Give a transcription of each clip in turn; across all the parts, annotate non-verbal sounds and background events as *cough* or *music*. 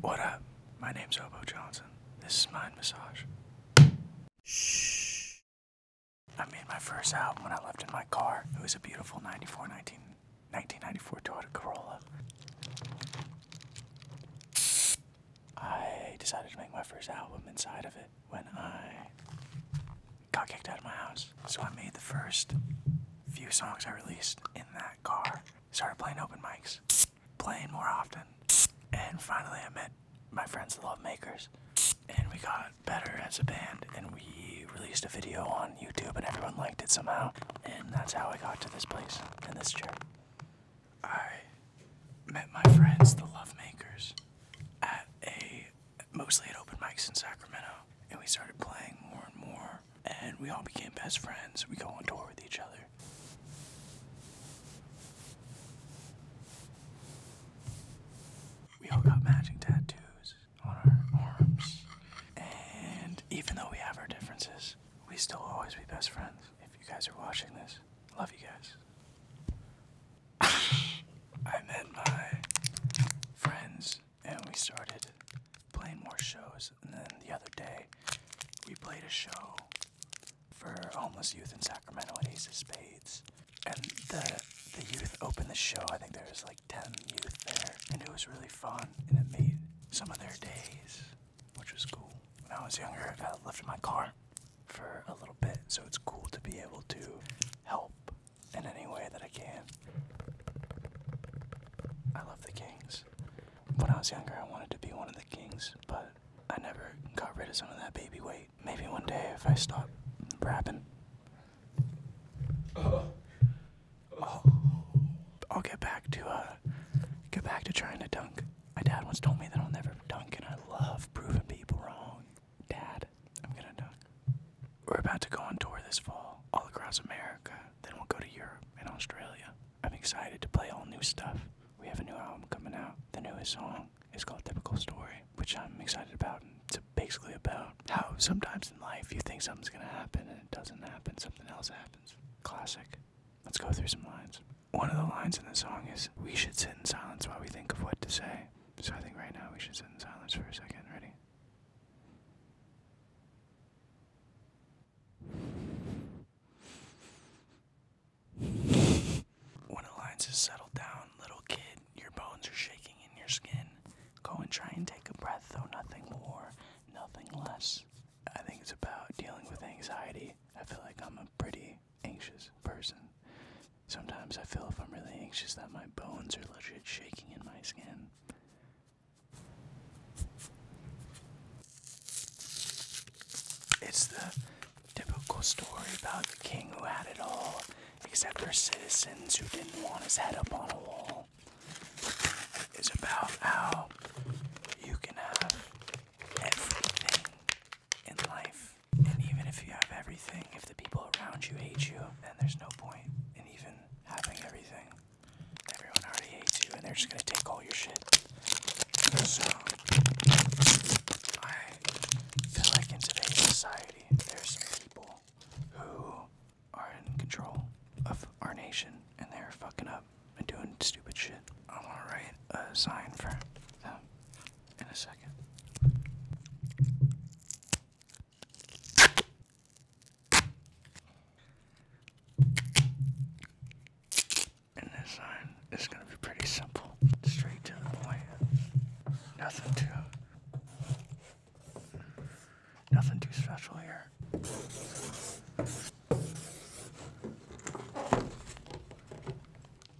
What up? My name's Obo Johnson. This is Mind Massage. Shh. I made my first album when I left in my car. It was a beautiful 94 19, 1994 Toyota Corolla. I decided to make my first album inside of it when I got kicked out of my house. So I made the first few songs I released in that car. Started playing open mics playing more often. And finally, I met my friends, the Love Makers, and we got better as a band. And we released a video on YouTube, and everyone liked it somehow. And that's how I got to this place In this chair. I met my friends, the Love Makers, at a mostly at open mics in Sacramento, and we started playing more and more and we all became best friends. We go on tour with each other. We all got matching tattoos on our arms, and even though we have our differences, we still always be best friends. If you guys are watching this, love you guys. *laughs* I met my friends, and we started playing more shows. And then the other day, we played a show for homeless youth in Sacramento at Ace of Spades. And the the youth opened the show. I think there was like 10 youth there. And it was really fun. And it made some of their days, which was cool. When I was younger, I lived in my car for a little bit. So it's cool to be able to help in any way that I can. I love the Kings. When I was younger, I wanted to be one of the kings, but I never got rid of some of that baby weight. Maybe one day if I stop rapping. I'll, I'll get back to uh, get back to trying to dunk. My dad once told me that I'll never dunk, and I love proving people wrong. Dad, I'm gonna dunk. We're about to go on tour this fall, all across America. Then we'll go to Europe and Australia. I'm excited to play all new stuff. We have a new album coming out. The newest song is called Typical Story, which I'm excited about. It's basically about how sometimes in life you think something's gonna happen and it doesn't happen, something else happens. Classic. Let's go through some lines. One of the lines in the song is, We should sit in silence while we think of what to say. So I think right now we should sit in silence for a second. Ready? When alliances settle down, little kid, your bones are shaking in your skin. Go and try and take a breath, though nothing more, nothing less. I think it's about dealing with anxiety. I feel like I'm a pretty anxious person. Sometimes I feel if I'm really anxious that my bones are literally shaking in my skin. It's the typical story about the king who had it all, except for citizens who didn't want his head up on a wall. It's about how you can have everything in life, and even if you have everything, if the people around you hate you, then there's no point in even having everything. Everyone already hates you and they're just gonna take all your shit. So, I feel like in today's society, there's some people who are in control of our nation and they're fucking up and doing stupid shit. I'm gonna write a sign for them in a second. And this sign is going to be pretty simple, straight to the point. Nothing too, nothing too special here.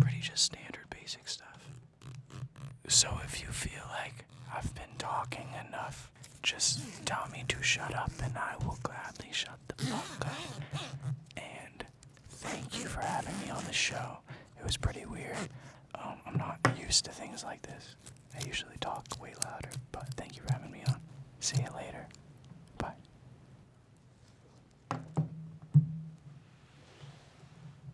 Pretty just standard basic stuff. So if you feel like I've been talking enough. Just tell me to shut up and I will gladly shut the fuck up. And thank you for having me on the show. It was pretty weird. Um, I'm not used to things like this. I usually talk way louder, but thank you for having me on. See you later. Bye.